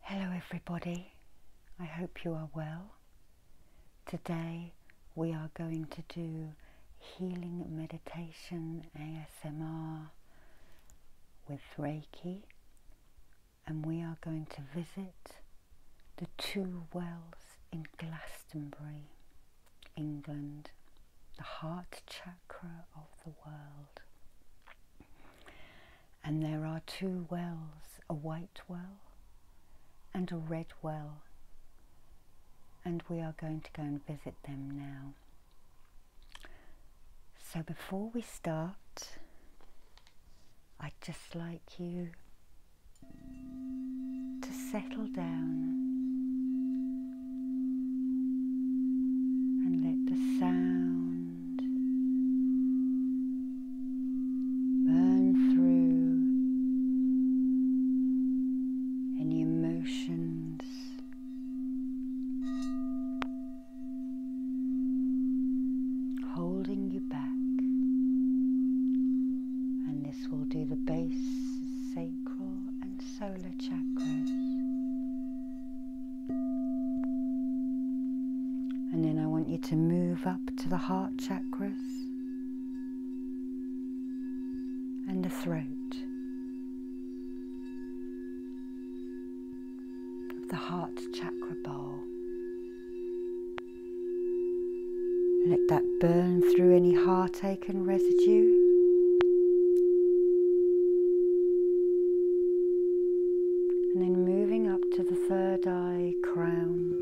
Hello, everybody. I hope you are well. Today, we are going to do healing meditation ASMR with Reiki, and we are going to visit the two wells in Glastonbury, England, the heart chakra of the world. And there are two wells, a white well and a red well. And we are going to go and visit them now. So before we start, I'd just like you to settle down and let the sound burn through any emotions. Holding you back, and this will do the base sacral and solar chakras. And then I want you to move up to the heart chakras and the throat of the heart chakra bowl. Let that burn through any heartache and residue. And then moving up to the third eye crown.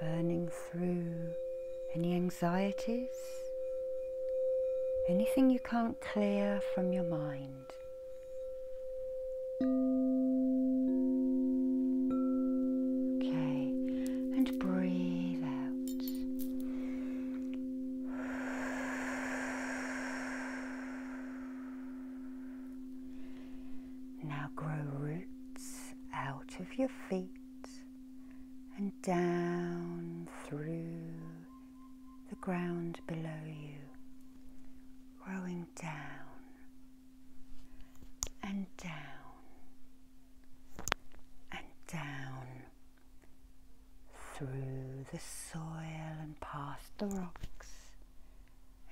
burning through any anxieties, anything you can't clear from your mind. Okay, and breathe out. Now grow roots out of your feet and down through the ground below you, growing down and down and down through the soil and past the rocks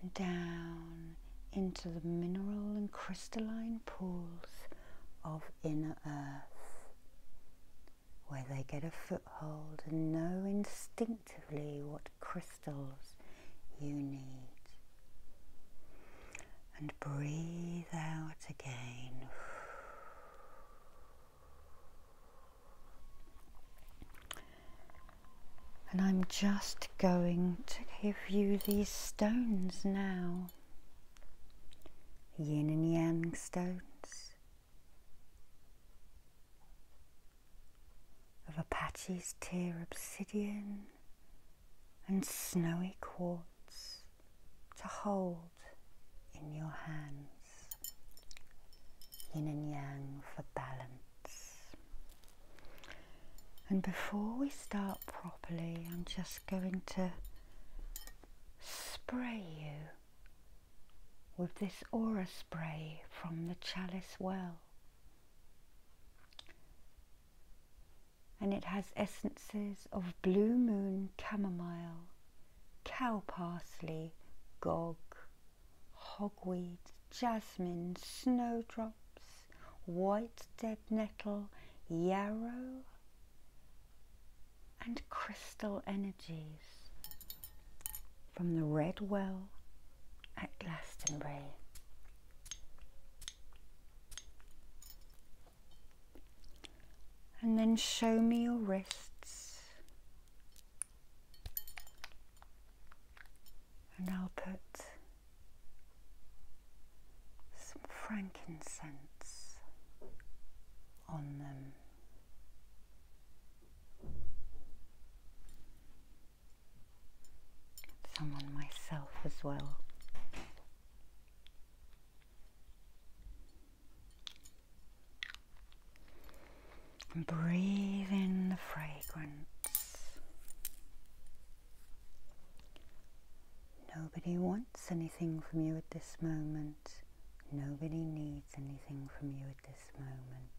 and down into the mineral and crystalline pools of inner earth, where they get a foothold and know instinctively what crystals you need. And breathe out again. And I'm just going to give you these stones now yin and yang stones of Apache's tear obsidian and snowy quartz to hold in your hands. Yin and yang for balance. And before we start properly, I'm just going to spray you with this aura spray from the chalice well. And it has essences of blue moon chamomile, cow parsley, gog, hogweed, jasmine, snowdrops, white dead nettle, yarrow, and crystal energies from the Red Well at Glastonbury. And then show me your wrists. And I'll put some frankincense on them. Some on myself as well. And breathe in the fragrance. Nobody wants anything from you at this moment. Nobody needs anything from you at this moment.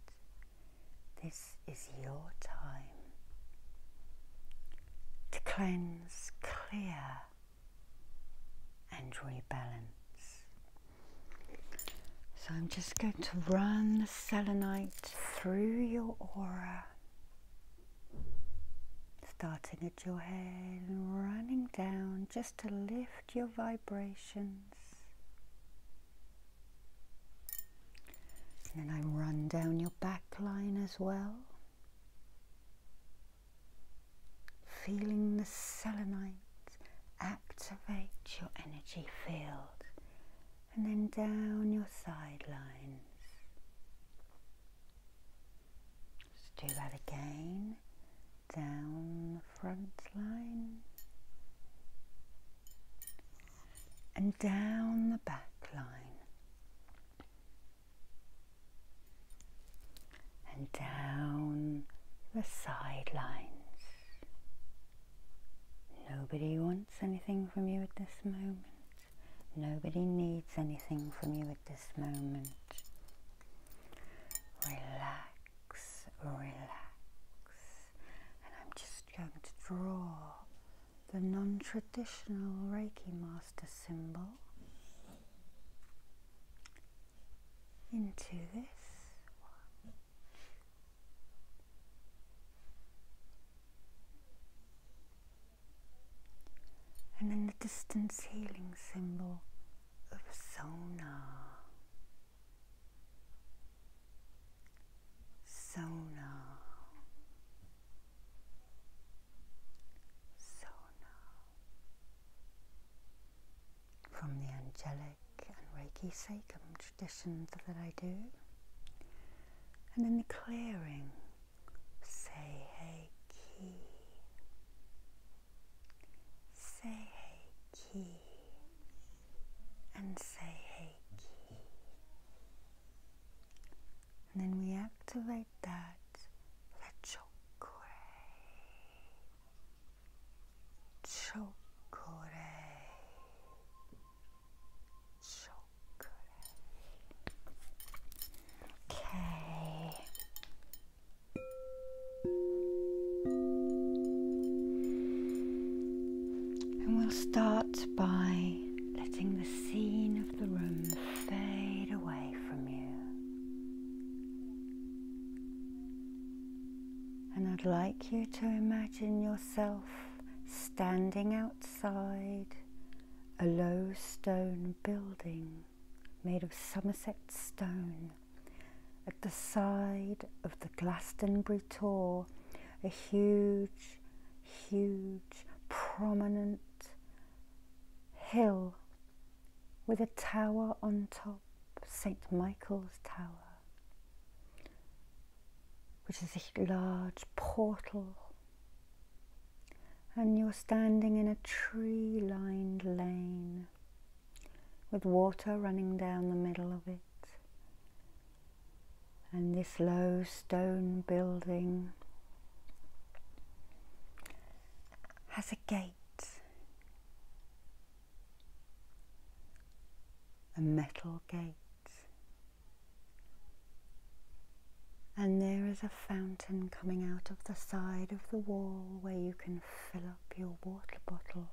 This is your time to cleanse, clear, and rebalance. So I'm just going to run the selenite through your aura starting at your head and running down just to lift your vibrations. And then I run down your back line as well. Feeling the selenite activate your energy field and then down your sidelines. Let's do that again. Down the front line. And down the back line. And down the sidelines. Nobody wants anything from you at this moment. Nobody needs anything from you at this moment. Relax, relax. And I'm just going to draw the non traditional Reiki Master symbol into this and in the distance healing symbol of sonar. Sonar. Sonar. From the angelic and Reiki sacrum traditions that I do. And in the clearing Say hey key. Say hey key. And say hey key. And then we activate that the chokore. Chokore. Okay. And we'll start by letting the scene of the room fade away from you. And I'd like you to imagine yourself standing outside a low stone building made of Somerset stone. At the side of the Glastonbury Tor, a huge, huge, prominent hill with a tower on top, St. Michael's Tower, which is a large portal and you're standing in a tree lined lane with water running down the middle of it. And this low stone building has a gate, a metal gate and there is a fountain coming out of the side of the wall where you can fill up your water bottle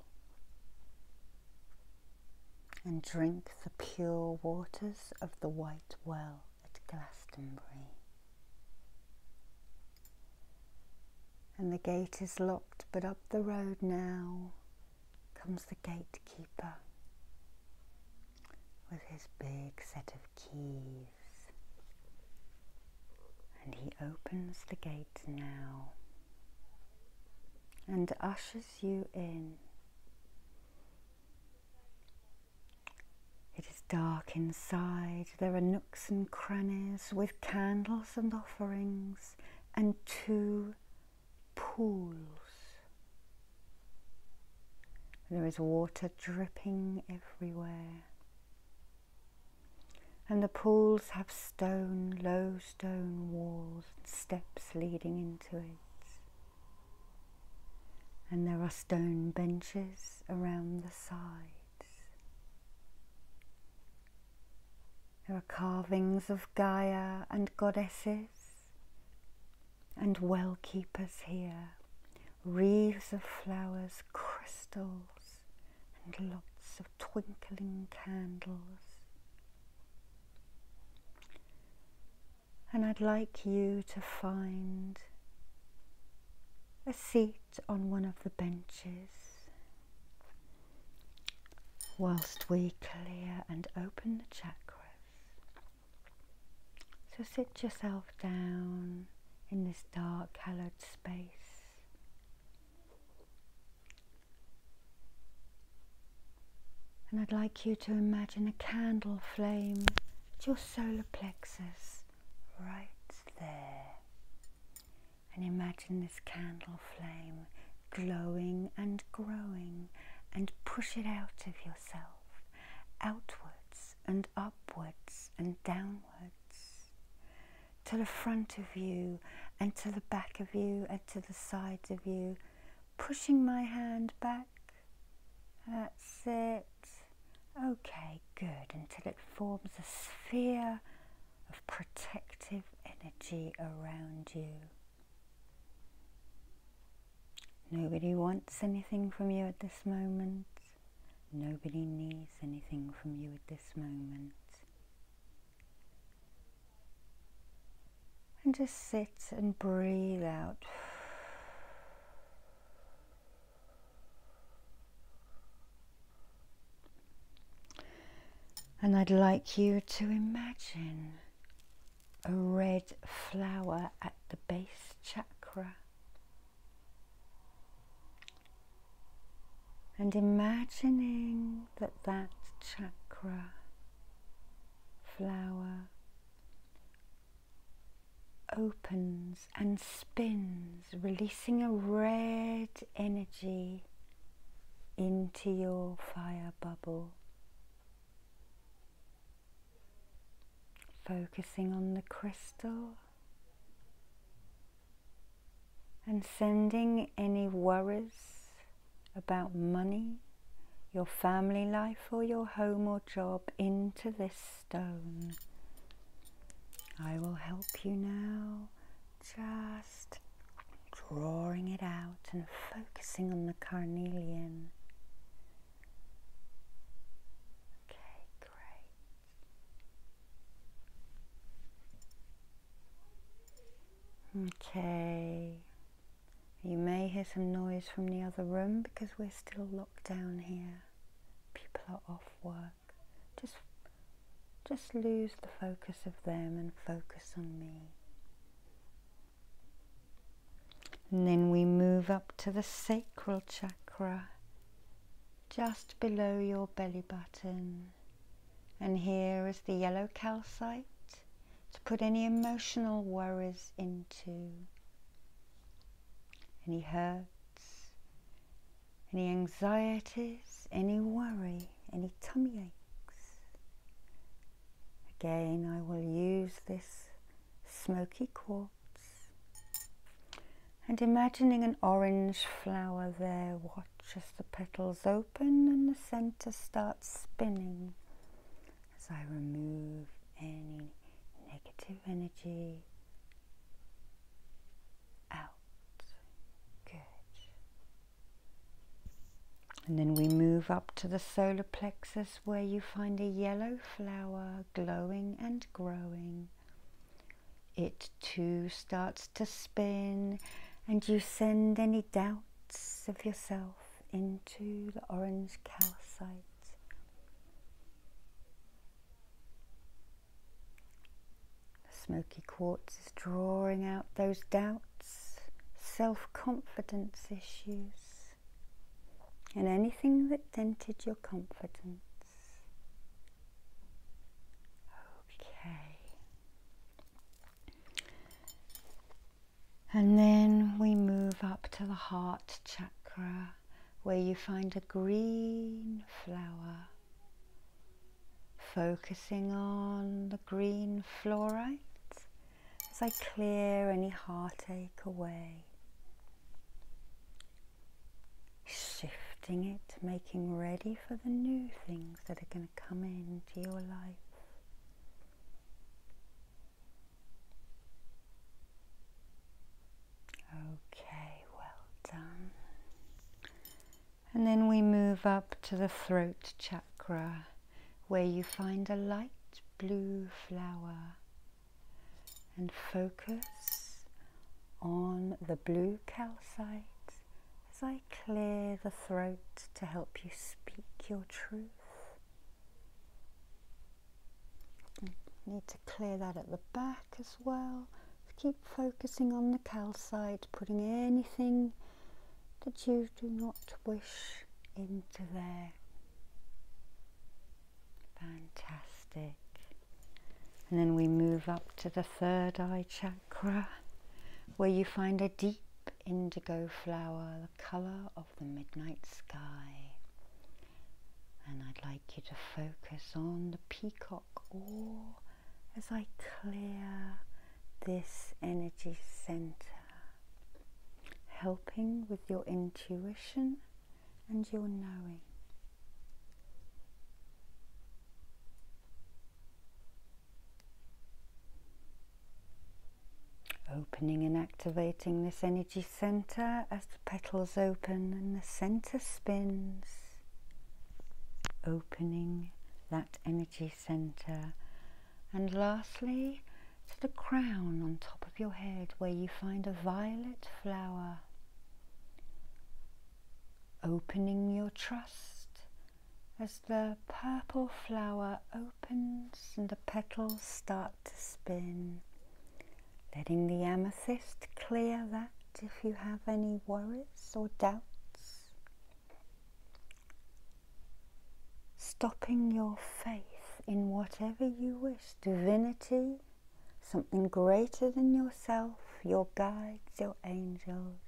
and drink the pure waters of the White Well at Glastonbury. And the gate is locked, but up the road now comes the gatekeeper with his big set of keys. And he opens the gate now and ushers you in. It is dark inside. There are nooks and crannies with candles and offerings and two pools there is water dripping everywhere. And the pools have stone, low stone walls and steps leading into it. And there are stone benches around the sides. There are carvings of Gaia and goddesses and well keepers here, wreaths of flowers, crystals, and lots of twinkling candles. And I'd like you to find a seat on one of the benches whilst we clear and open the chakras. So sit yourself down in this dark, hallowed space. And I'd like you to imagine a candle flame at your solar plexus right there. And imagine this candle flame glowing and growing and push it out of yourself, outward and upwards and downwards, to the front of you and to the back of you and to the sides of you, pushing my hand back. That's it. Okay, good. Until it forms a sphere of protective energy around you. Nobody wants anything from you at this moment. Nobody needs anything from you at this moment. And just sit and breathe out. And I'd like you to imagine a red flower at the base chakra. And imagining that that chakra flower opens and spins, releasing a red energy into your fire bubble focusing on the crystal and sending any worries about money, your family life, or your home or job into this stone. I will help you now, just drawing it out and focusing on the carnelian Okay, great. Okay, you may hear some noise from the other room because we're still locked down here. People are off work. Just, just lose the focus of them and focus on me. And then we move up to the sacral chakra, just below your belly button. And here is the yellow calcite to put any emotional worries into, any hurts, any anxieties, any worry, any tummy aches. Again, I will use this smoky quartz and imagining an orange flower there, watch as the petals open and the center starts spinning as I remove any negative energy out. Good. And then we move up to the solar plexus where you find a yellow flower glowing and growing. It too starts to spin, and you send any doubts of yourself into the orange calcite. The smoky quartz is drawing out those doubts, self confidence issues and anything that dented your confidence. Okay. And then we move up to the heart chakra where you find a green flower. Focusing on the green fluorite as I clear any heartache away. Shifting it, making ready for the new things that are going to come into your life. Okay, well done. And then we move up to the throat chakra where you find a light blue flower and focus on the blue calcite as I clear the throat to help you speak your truth. Mm, need to clear that at the back as well. Keep focusing on the calcite, putting anything that you do not wish into there. Fantastic. And then we move up to the third eye chakra where you find a deep indigo flower, the colour of the midnight sky. And I'd like you to focus on the peacock or as I clear this energy centre helping with your intuition and your knowing. Opening and activating this energy center as the petals open and the center spins. Opening that energy center. And lastly, to the crown on top of your head where you find a violet flower, opening your trust as the purple flower opens and the petals start to spin, letting the amethyst clear that if you have any worries or doubts stopping your faith in whatever you wish divinity, something greater than yourself, your guides, your angels.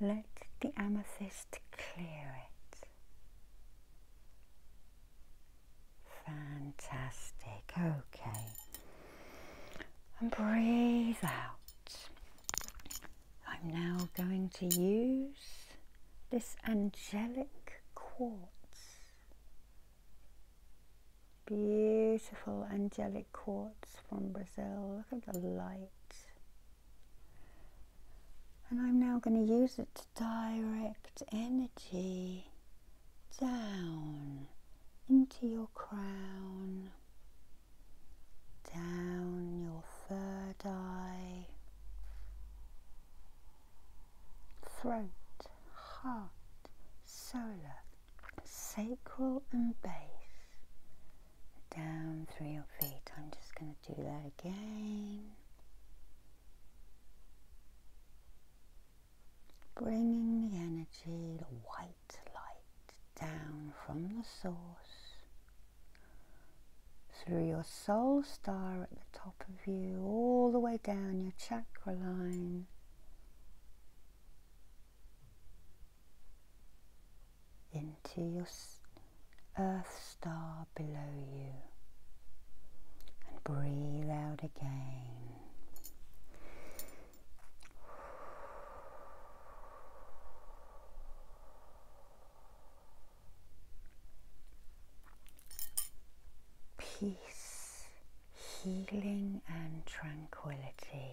Let the amethyst clear it. Fantastic. Okay. And breathe out. I'm now going to use this angelic quartz. Beautiful angelic quartz from Brazil. Look at the light. And I'm now going to use it to direct energy down into your crown, down your third eye, throat, heart, solar, sacral and base. Down through your feet. I'm just going to do that again. Bringing the energy, the white light down from the source through your soul star at the top of you, all the way down your chakra line. Into your earth star below you and breathe out again peace, healing, and tranquility.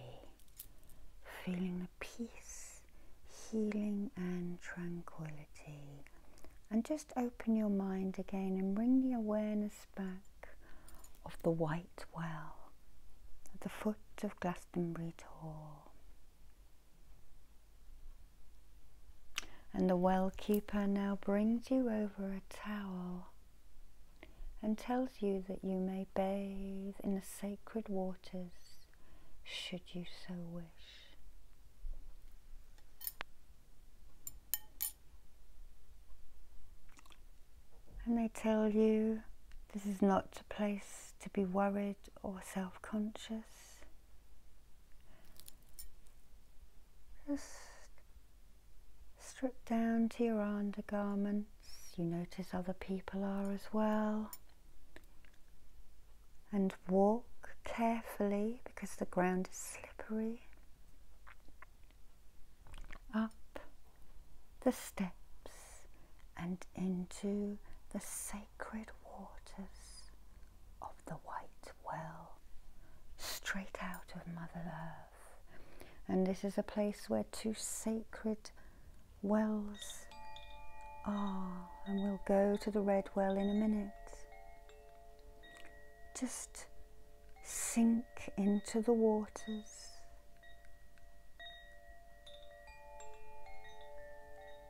Feeling the peace, healing, and tranquility. And just open your mind again and bring the awareness back of the White Well at the foot of Glastonbury Tor. And the well keeper now brings you over a towel and tells you that you may bathe in the sacred waters should you so wish. And they tell you this is not a place to be worried or self conscious. Just strip down to your undergarments. You notice other people are as well. And walk carefully because the ground is slippery. Up the steps and into the safe sacred waters of the White Well, straight out of Mother Earth. And this is a place where two sacred wells are. And we'll go to the Red Well in a minute. Just sink into the waters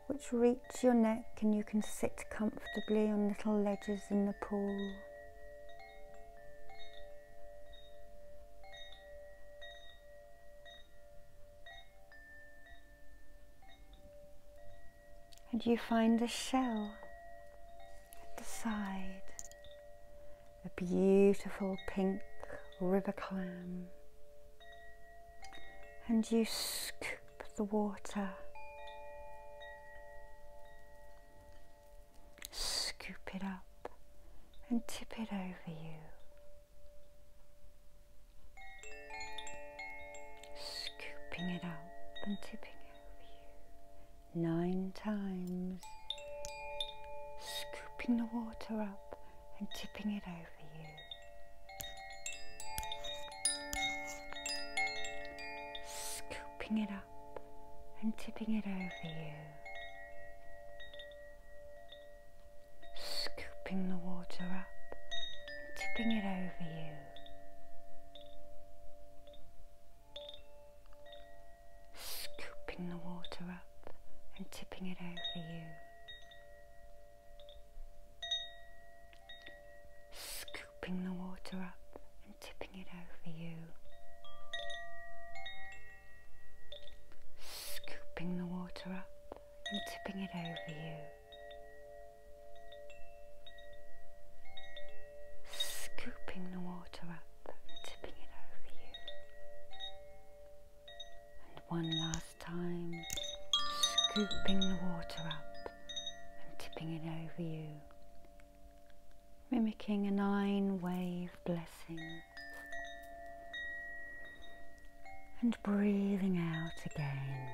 which reach your neck and you can sit comfortably on little ledges in the pool. And you find a shell at the side, a beautiful pink river clam and you scoop the water, scoop it up and tip it over you. Scooping it up and tipping over you nine times, scooping the water up and tipping it over you. Scooping it up and tipping it over you. Scooping the water up and tipping it over you. Scooping the water up and tipping it over you scooping the water up and tipping it over you, scooping the water up and tipping it over you. Scooping the water up and tipping it over you. And one last time, scooping the water up and tipping it over you, mimicking a nine wave blessing. And breathing out again.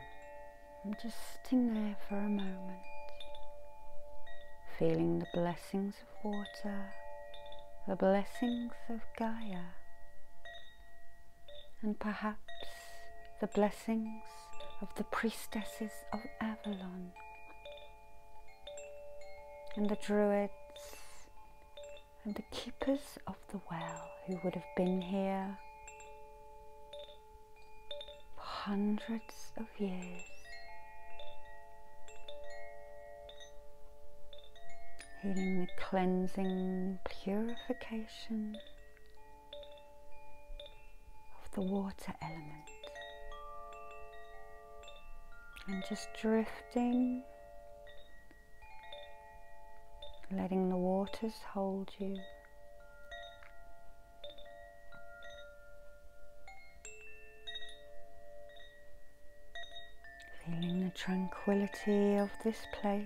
I'm just sitting there for a moment, feeling the blessings of water, the blessings of Gaia, and perhaps the blessings of the priestesses of Avalon and the druids and the keepers of the well who would have been here for hundreds of years. Feeling the cleansing purification of the water element and just drifting, letting the waters hold you. Feeling the tranquility of this place.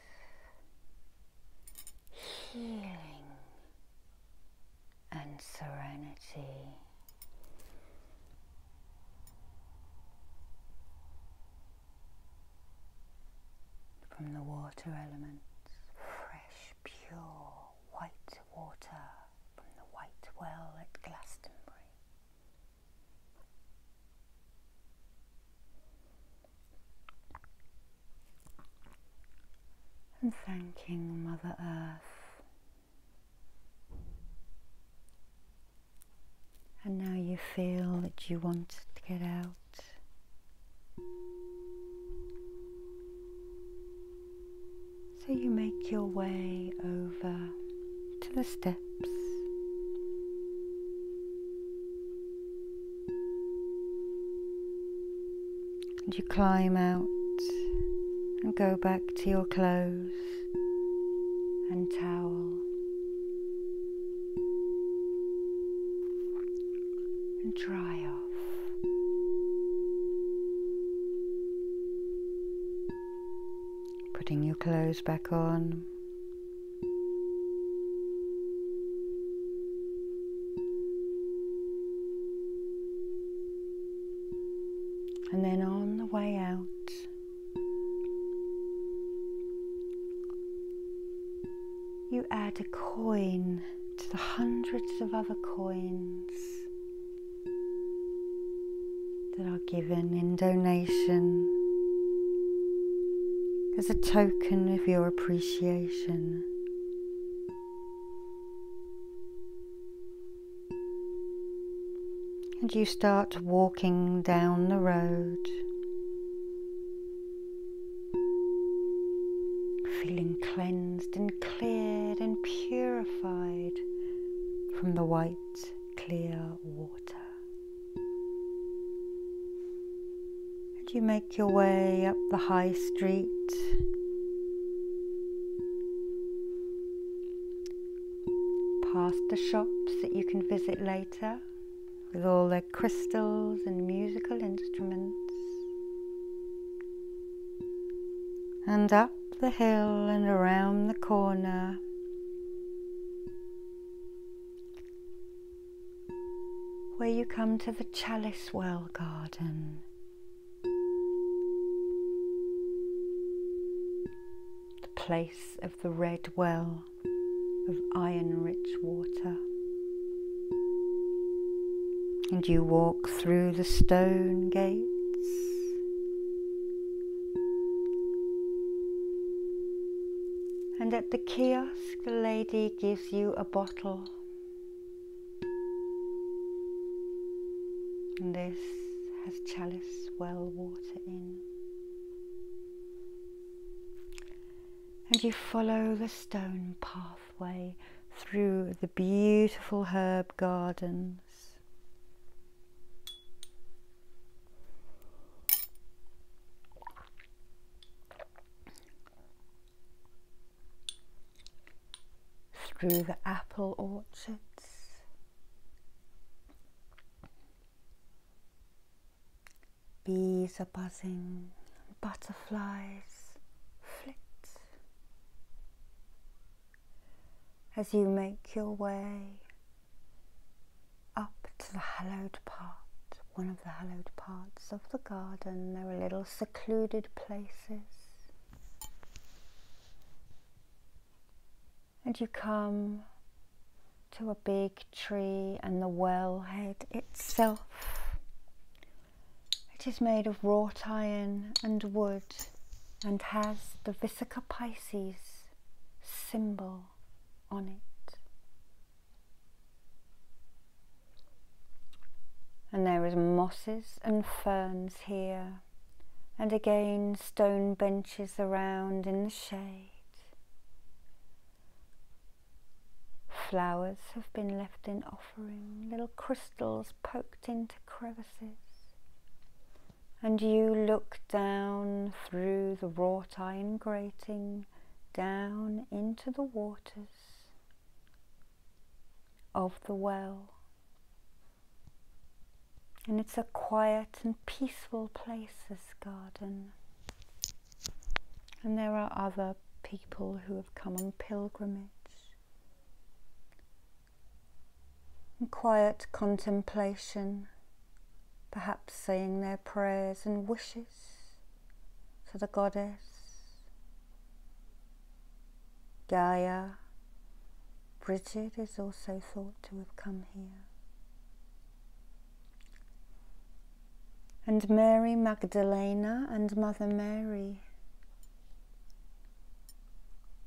healing and serenity. From the water elements, fresh, pure white water from the White Well at Glastonbury and thanking Mother Earth. And now you feel that you want to get out. So you make your way over to the steps. And you climb out and go back to your clothes and towel. And dry off. Putting your clothes back on and then on the way out, you add a coin to the hundreds of other coins that are given in donation as a token of your appreciation. And you start walking down the road, feeling cleansed and cleared and purified from the white, clear water. And you make your way up the high street. Past the shops that you can visit later with all their crystals and musical instruments. And up the hill and around the corner where you come to the Chalice Well Garden. The place of the red well of iron rich water. And you walk through the stone gates, and at the kiosk the lady gives you a bottle. And this has chalice well water in. And you follow the stone pathway through the beautiful herb gardens through the apple orchards. Bees are buzzing, butterflies flit. As you make your way up to the hallowed part, one of the hallowed parts of the garden, there are little secluded places. And you come to a big tree and the wellhead itself. It is made of wrought iron and wood and has the Visica Pisces symbol on it. And there is mosses and ferns here, and again stone benches around in the shade. Flowers have been left in offering, little crystals poked into crevices. And you look down through the wrought iron grating down, into the waters of the well. And it's a quiet and peaceful place, this garden. And there are other people who have come on pilgrimage. in quiet contemplation perhaps saying their prayers and wishes to the goddess, Gaia. Bridget is also thought to have come here. And Mary Magdalena and Mother Mary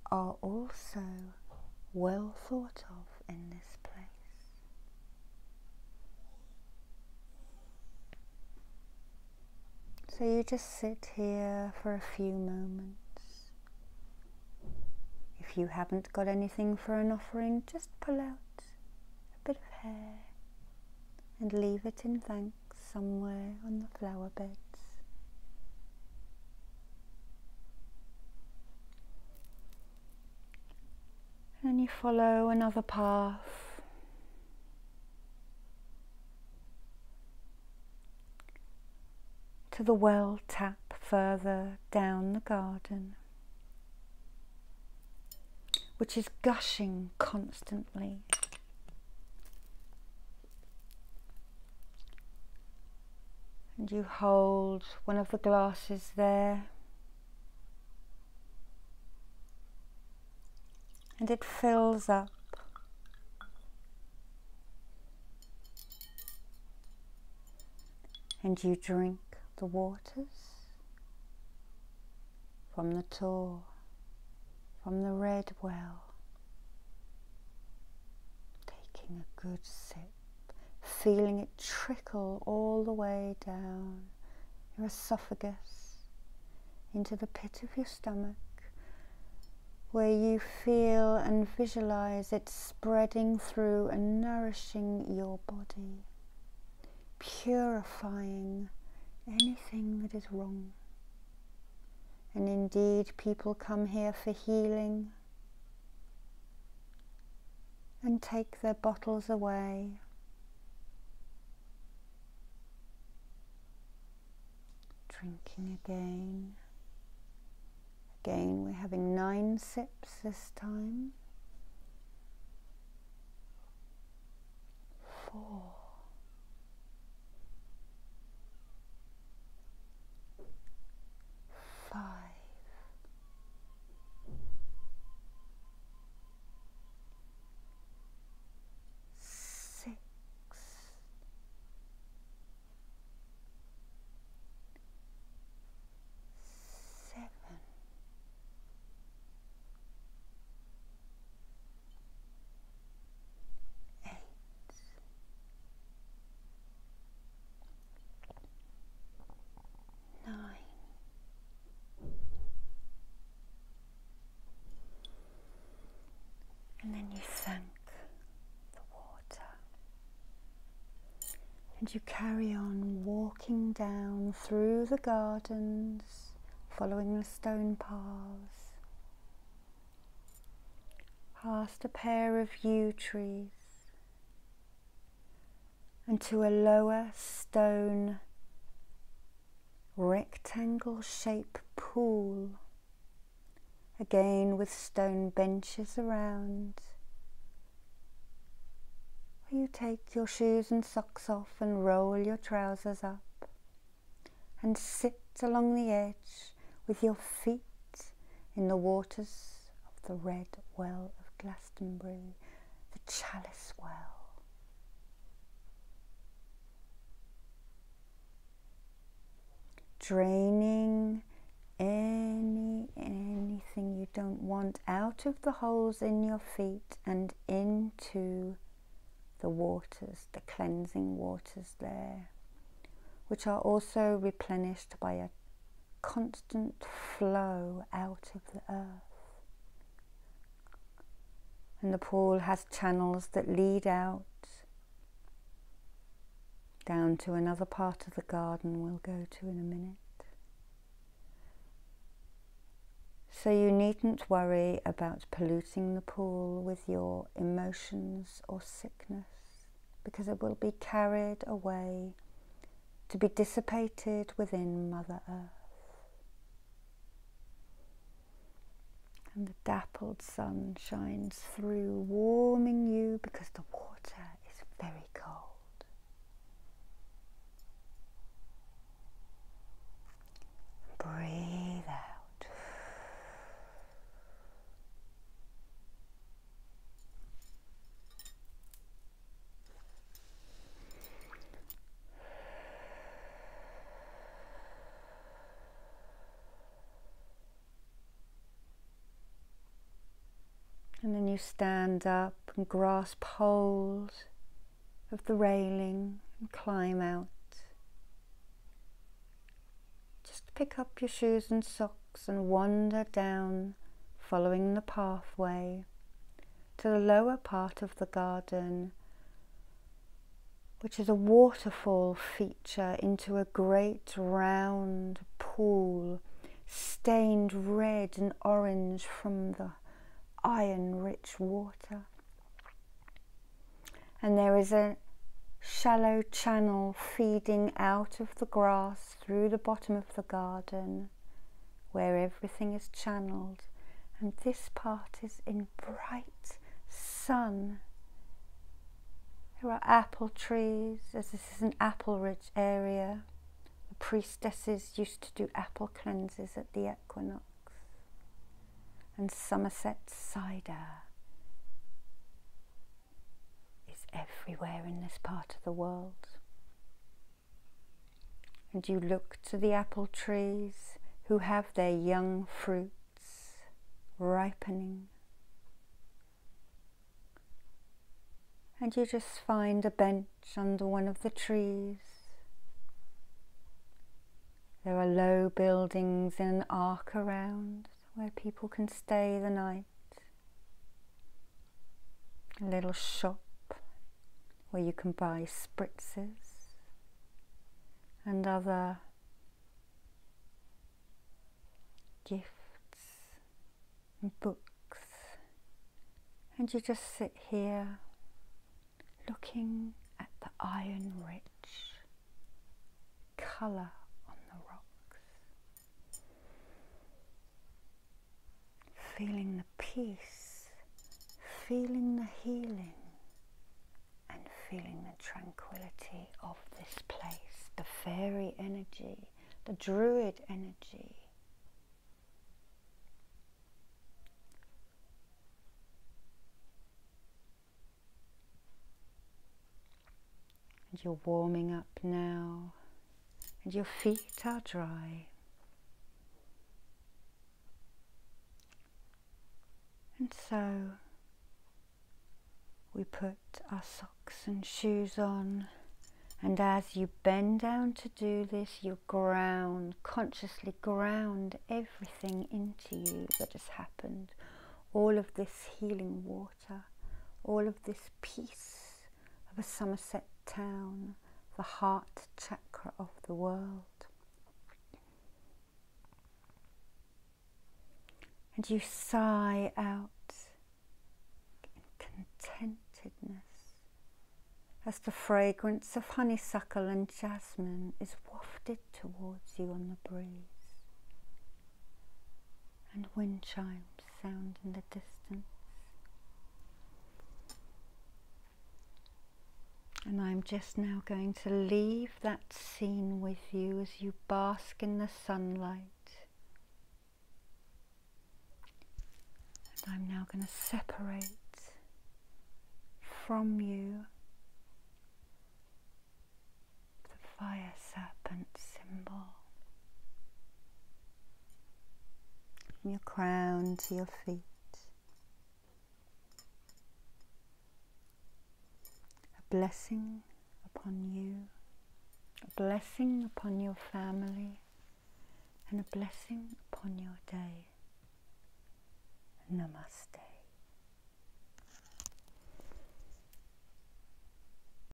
are also well thought of in this place. So you just sit here for a few moments. If you haven't got anything for an offering, just pull out a bit of hair and leave it in thanks somewhere on the flower beds and you follow another path. To the well tap further down the garden, which is gushing constantly. And you hold one of the glasses there and it fills up. And you drink the waters from the Tor, from the red well, taking a good sip feeling it trickle all the way down your esophagus into the pit of your stomach, where you feel and visualize it spreading through and nourishing your body, purifying anything that is wrong. And indeed, people come here for healing and take their bottles away. Drinking again. Again, we're having nine sips this time. Four. Five six, seven, eight nine. And then you thank the water. And you carry on walking down through the gardens, following the stone paths, past a pair of yew trees, and to a lower stone rectangle shape pool, again with stone benches around. You take your shoes and socks off and roll your trousers up and sit along the edge with your feet in the waters of the red well of Glastonbury, the chalice well. Draining any anything you don't want out of the holes in your feet and into the waters, the cleansing waters there, which are also replenished by a constant flow out of the earth. And the pool has channels that lead out down to another part of the garden we'll go to in a minute. So you needn't worry about polluting the pool with your emotions or sickness because it will be carried away to be dissipated within Mother Earth. And the dappled sun shines through, warming you because the water is very cold. Breathe out. And then you stand up and grasp hold of the railing and climb out. Just pick up your shoes and socks and wander down, following the pathway, to the lower part of the garden, which is a waterfall feature into a great round pool stained red and orange from the iron rich water. And there is a shallow channel feeding out of the grass through the bottom of the garden where everything is channeled and this part is in bright sun. There are apple trees as this is an apple rich area. The priestesses used to do apple cleanses at the equinox and Somerset cider is everywhere in this part of the world. And you look to the apple trees who have their young fruits ripening. And you just find a bench under one of the trees. There are low buildings in an arc around where people can stay the night a little shop where you can buy spritzes and other gifts and books, and you just sit here looking at the iron rich colour on the rocks feeling the peace, feeling the healing, and feeling the tranquility of this place, the fairy energy, the druid energy and you're warming up now, and your feet are dry. And so we put our socks and shoes on. And as you bend down to do this, you ground, consciously ground everything into you that has happened. All of this healing water, all of this peace, of a Somerset town, the heart chakra of the world. And you sigh out in contentedness as the fragrance of honeysuckle and jasmine is wafted towards you on the breeze and wind chimes sound in the distance. And I'm just now going to leave that scene with you as you bask in the sunlight. And I'm now going to separate from you the fire serpent symbol from your crown to your feet. A blessing upon you, a blessing upon your family, and a blessing upon your day. Namaste.